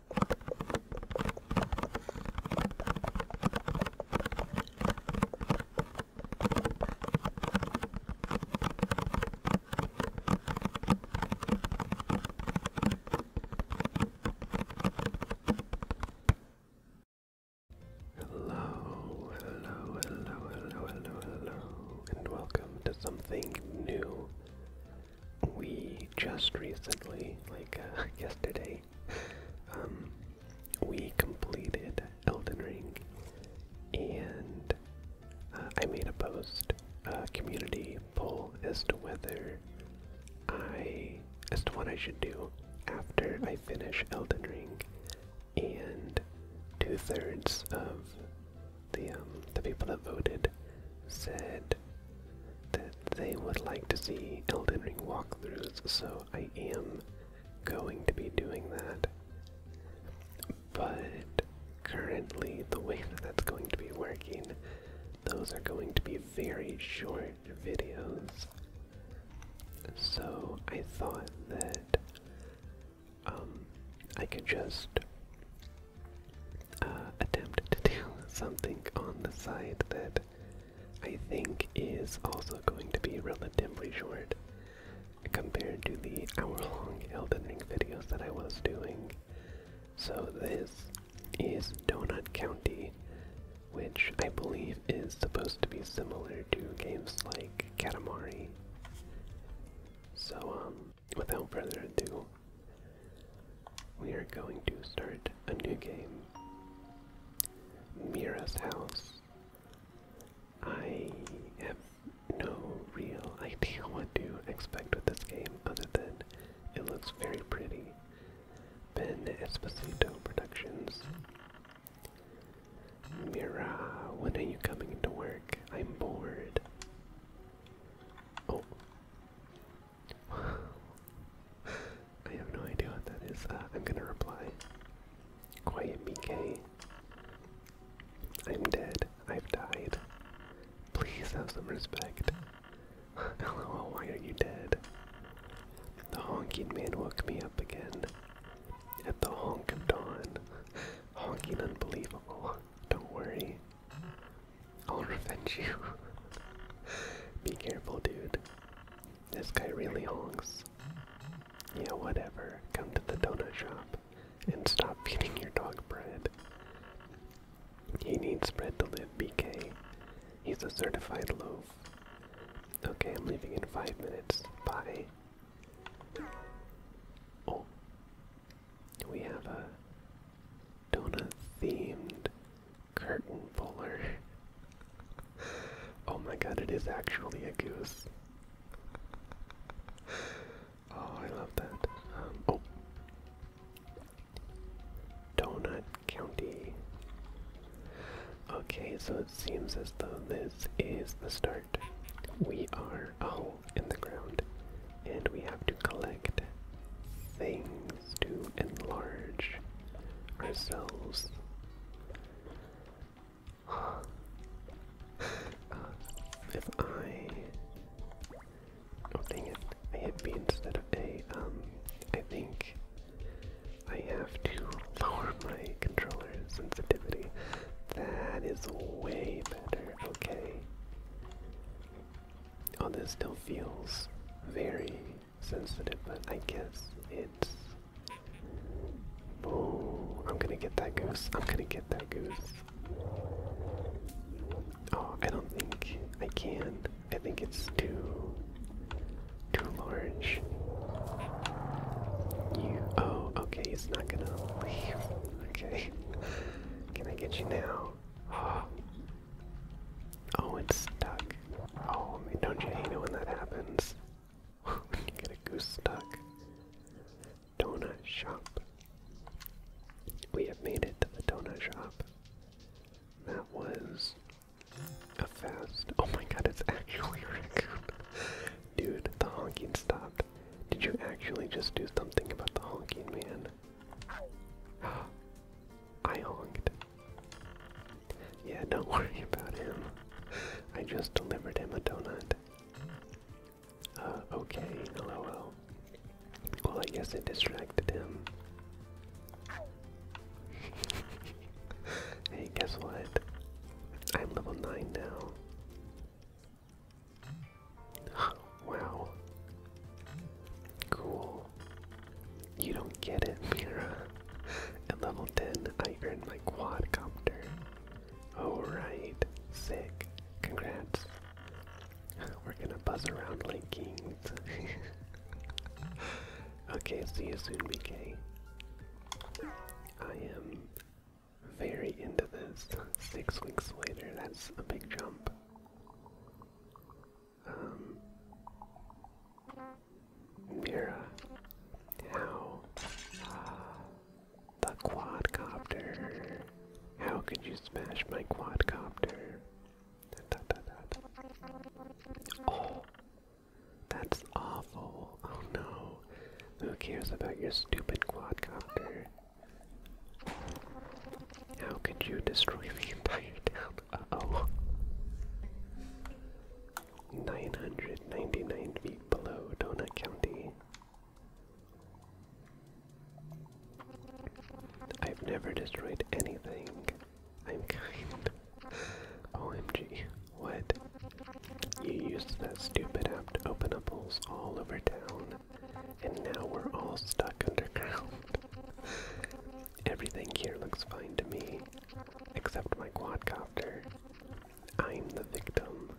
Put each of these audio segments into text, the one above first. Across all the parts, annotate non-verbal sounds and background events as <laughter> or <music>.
Hello, hello, hello, hello, hello, hello, and welcome to something new we just recently, like uh, <laughs> yesterday, um, we completed Elden Ring, and uh, I made a post, a uh, community poll as to whether I, as to what I should do after I finish Elden Ring, and two thirds of the um, the people that voted said that they would like to see Elden Ring walkthroughs, so I am going to be doing that. But currently, the way that <laughs> that's going to be working, those are going to be very short videos. So I thought that um, I could just uh, attempt to do <laughs> something on the side that I think is also going to be relatively short compared to the hour-long Elden Ring videos that I was doing. So this is Donut County, which I believe is supposed to be similar to games like Katamari. So, um, without further ado, we are going to start a new game. Mira's house. I have no real idea what to expect with this game other than it looks very pretty. Ben Esposito Productions. Mira, when are you coming to work? I'm bored. Oh, <sighs> I have no idea what that is. Uh, I'm gonna reply. Quiet BK. I'm dead. I've died. Please have some respect. Hello, <laughs> why are you dead? The honking man woke me up again. At the honk of dawn. <laughs> Honking unbelievable. Don't worry. I'll revenge you. <laughs> Be careful, dude. This guy really honks. Yeah, whatever. Come to the donut shop and stop feeding your dog bread. He needs bread to live, BK. He's a certified loaf. Okay, I'm leaving in five minutes. Bye. Oh, we have a donut themed curtain puller. oh my god, it is actually a goose. Oh, I love that. Um, oh. Donut County. Okay, so it seems as though this is the start. We are in the ground, and we have to collect things to enlarge ourselves. <sighs> Uh, if I. Oh, don't it. I hit B instead of A. Um, think I have to lower my controller sensitivity. That is way better. Okay. Oh, this still feels very sensitive, but I guess it's. Oh, I'm gonna get that goose. I'm gonna get that goose. Oh, I don't think I can. I think it's too. too large. You. Oh, okay, he's not gonna leave. <laughs> Okay. Can I get you now? <gasps> oh, it's stuck. Oh, I don't you hate it when that happens? <laughs> you get a goose stuck. Donut shop. We have made it to the donut shop. That was a fast. Oh my god, it's actually a <laughs> raccoon. Dude, the honking stopped. Did you actually just do something about the honking, man? <gasps> I honked. Yeah, don't <laughs> worry about him. I just delivered him a donut. Uh, okay, lol. Well, I guess it distracted him. <laughs> hey, guess what? I'm level 9 now wow. Cool. You don't get it, Mira. At level 10, I earned my quadcopter. right, sick. Congrats. We're gonna buzz around like kings. <laughs> okay, see you soon, BK. I am very into this. Six weeks later, that's a big jump. Mira, um, how uh, the quadcopter? How could you smash my quadcopter? Oh, that's awful! Oh no, who cares about your stupid quadcopter? How could you destroy the entire town? Uh oh. 999 feet below Donut County. I've never destroyed anything. I'm kind. OMG. What? You used that stupid app to open up holes all over town. And now we're all stuck underground. Everything here looks fine to me, except my quadcopter. I'm the victim.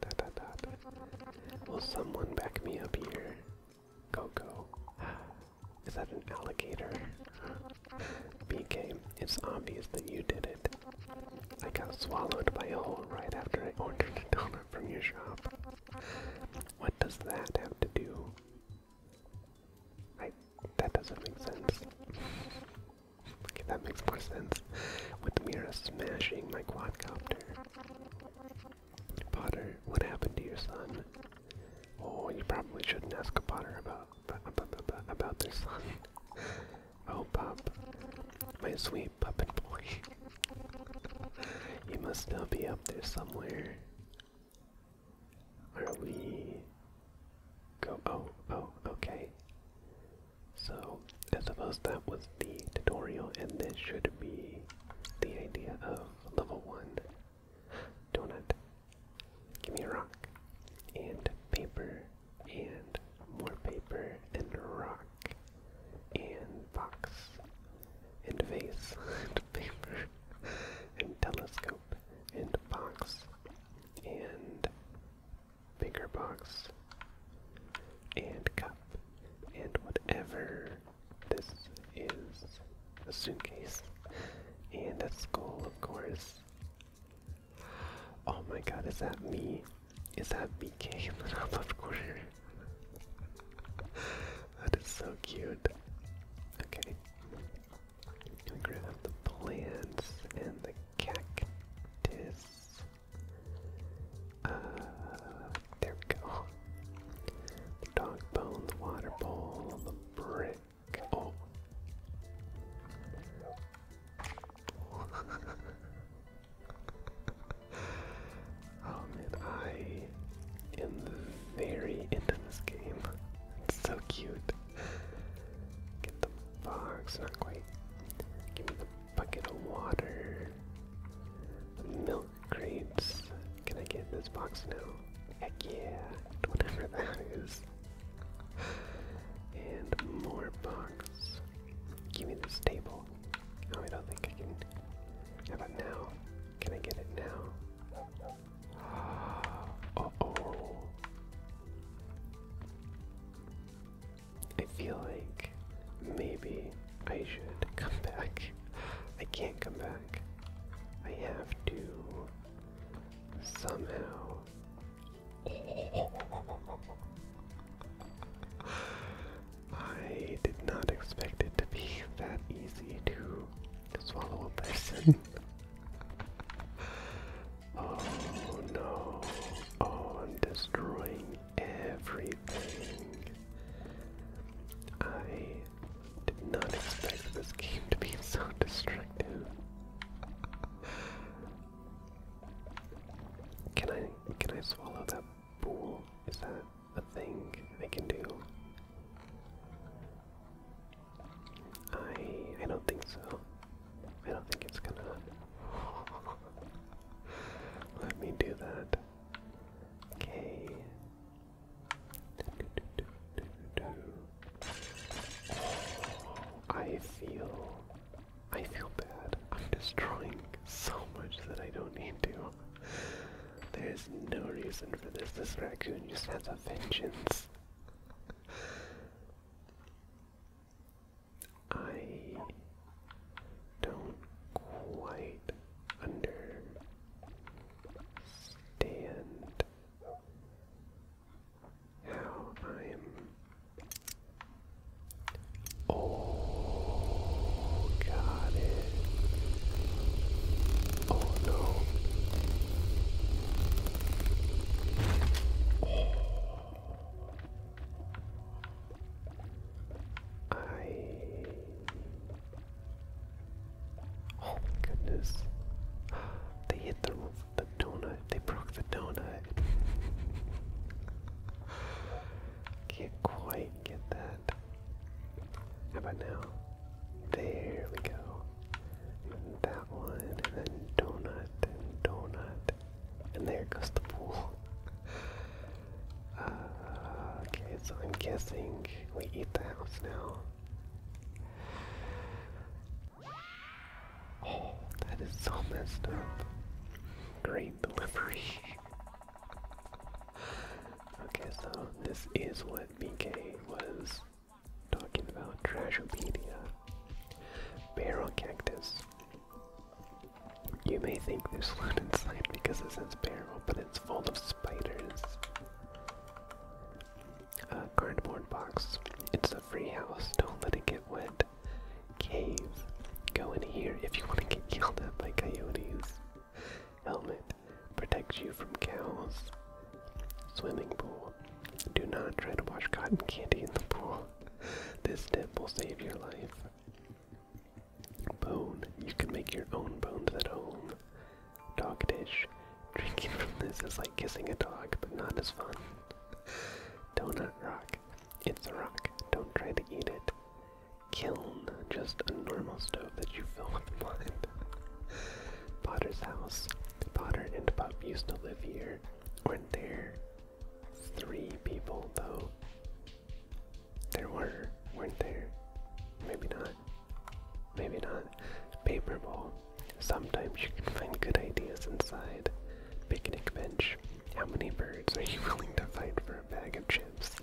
Dot, dot, dot. Will someone back me up here? Coco. <gasps> Is that an alligator? BK, it's obvious that you did it. I got swallowed by a hole right after I ordered a donut. <laughs> from your shop. What does that have to do? I that doesn't make sense. okay, that makes more sense. With Mira smashing my quadcopter. Potter, what happened to your son? Oh, you probably shouldn't ask a Potter about about, about their son. Oh, pup, my sweet puppet boy. You must still be up there somewhere. Are we go oh oh okay. So I suppose that was the tutorial and this should be the idea of level one. Donut. Give me a rock. And paper and more paper and rock and box and vase <laughs> and paper and telescope and box and bigger box and cup and whatever this is a suitcase and a school, of course. Oh my god, is that me? Is that BK in the top left corner? that is so cute. Okay. We're the plants and the cactus. Uh, there we go. The dog bone, the water bowl, the brick. Oh. <laughs> oh man, I am very end this game. It's so cute. Get the box, not quite. Give me the bucket of water. milk crates. Can I get this box now? Heck yeah, whatever that is. And more boxes. Give me this table. Oh, I don't think I can. How about now? Can I get it now? <gasps> Uh oh. I feel like maybe I should <laughs> come back. I can't come back. I have to somehow. I did not expect it to be that easy to swallow a person. <laughs> oh no. Oh, I'm destroying everything. I did not expect this game to be so destructive. Can I can I swallow that pool? Is that a thing I can do? I I don't think so. I don't think it's gonna <laughs> let me do that. Okay. I feel I feel bad. I'm destroying so much that I don't need to. There's no reason for this. This raccoon just has a vengeance. I don't quite understand how I'm Oh, got Oh, no. I. Oh, my goodness. <gasps> They hit the, the donut. They broke the donut. Can't quite get that. How about now? There we go. And that one, and then donut, and donut. And there goes the pool. <laughs> Uh, okay, so I'm guessing we eat the house now. Oh, that is so messed up. Great delivery. <laughs> okay, so this is what BK was talking about. Trashopedia. Barrel cactus. You may think there's food <laughs> inside because it says barrel, but it's full of spiders. cardboard box. It's a free house. Don't let it get wet. Caves. Go in here if you want to get killed by coyotes. Helmet protects you from cows. Swimming pool. Do not try to wash cotton candy in the pool. This tip will save your life. Bone. You can make your own bones at home. Dog dish. Drinking from this is like kissing a dog, but not as fun. Donut rock. It's a rock. Don't try to eat it. Kiln, just a normal stove that you fill with wine. <laughs> Potter's house. Potter and Pup used to live here. Weren't there three people, though? There were, weren't there? Maybe not. Maybe not. Paper ball. Sometimes you can find good ideas inside. Picnic bench. How many birds are you willing to fight for a bag of chips?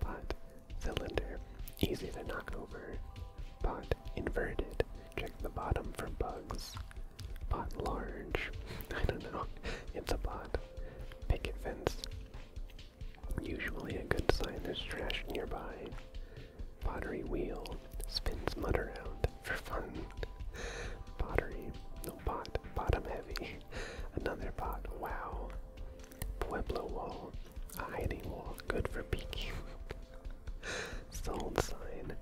Pot, cylinder, easy to knock over. Pot, inverted, check the bottom for bugs. Pot large, <laughs> I don't know, it's a pot. Picket fence, usually a good sign there's trash nearby. Pottery wheel, spins mud around for fun. Pottery. pot. Bottom heavy. Another pot. Wow. Pueblo wall. hiding wall. Good for peeking. <laughs> Sold sign.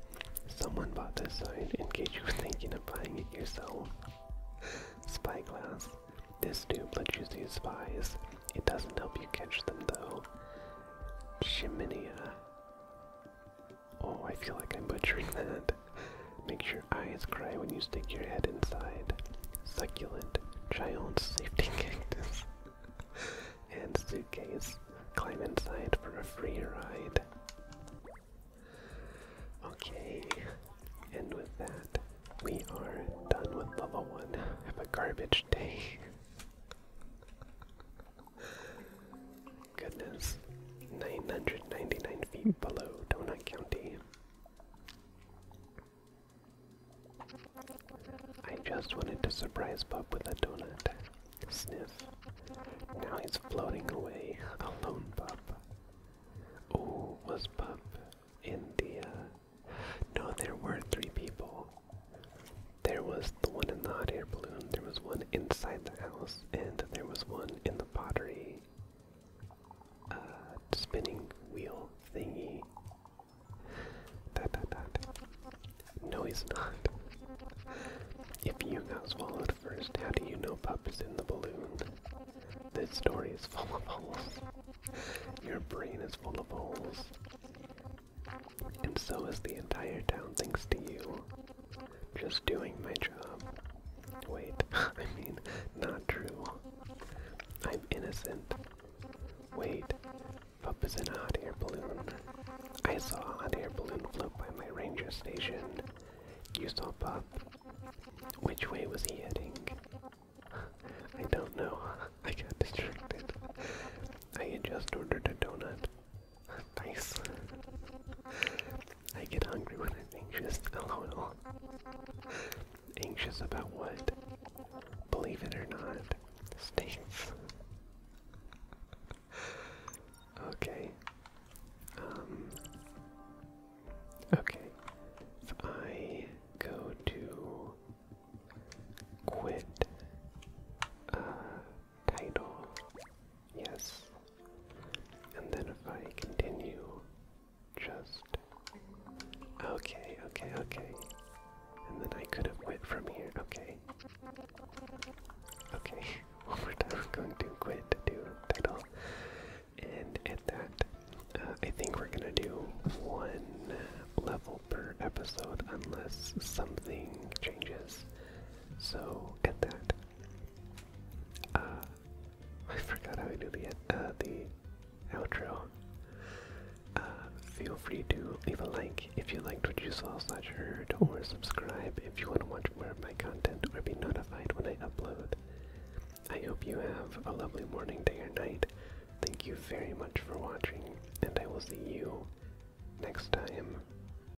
Someone bought this sign in case you were thinking of buying it yourself. Spyglass. This tube lets you see spies. It doesn't help you catch them though. Chiminia. Oh, I feel like I'm butchering that. Make your eyes cry when you stick your head inside. Succulent giant safety <laughs> cactus. and suitcase. Climb inside for a free ride. Okay, and with that, we are done with level one. Have a garbage day. Goodness. 999 feet below Donut County. I just wanted to surprise Bob with a donut. Sniff. Now he's floating away, alone, Bob. Oh, was Bob in the, uh, No, there were three people. There was the one in the hot air balloon, there was one inside the house, and there was one in the pottery uh, spinning wheel thingy. Dot, dot, dot. No, he's not. If you got swallowed first, how do you know pup is in the balloon? This story is full of holes. Your brain is full of holes. And so is the entire town thanks to you. Just doing my job. Wait, <laughs> I mean, not true. I'm innocent. Wait, Pup is in a hot air balloon. I saw a hot air balloon float by my ranger station. You saw Pup. Which way was he heading? <laughs> I don't know. <laughs> I got distracted. I had just ordered a donut. <laughs> nice. I get hungry when I'm anxious. Hello, <laughs> oh, no. Anxious about what? Believe it or not, stinks. okay. Um, okay. If I go to quit. Uh, title Yes. And then if I continue, just. Okay, okay, okay. And then I could have quit from here. Okay. Okay, one more time. going to quit to do title. And at that, uh, I think we're gonna do one level per episode unless something changes. So at that, uh, I forgot how I do the uh, the outro. Uh, feel free to leave a like if you liked what you saw slash heard, or subscribe if you want to watch more of my content or be notified when I upload. I hope you have a lovely morning, day, or night. Thank you very much for watching, and I will see you next time.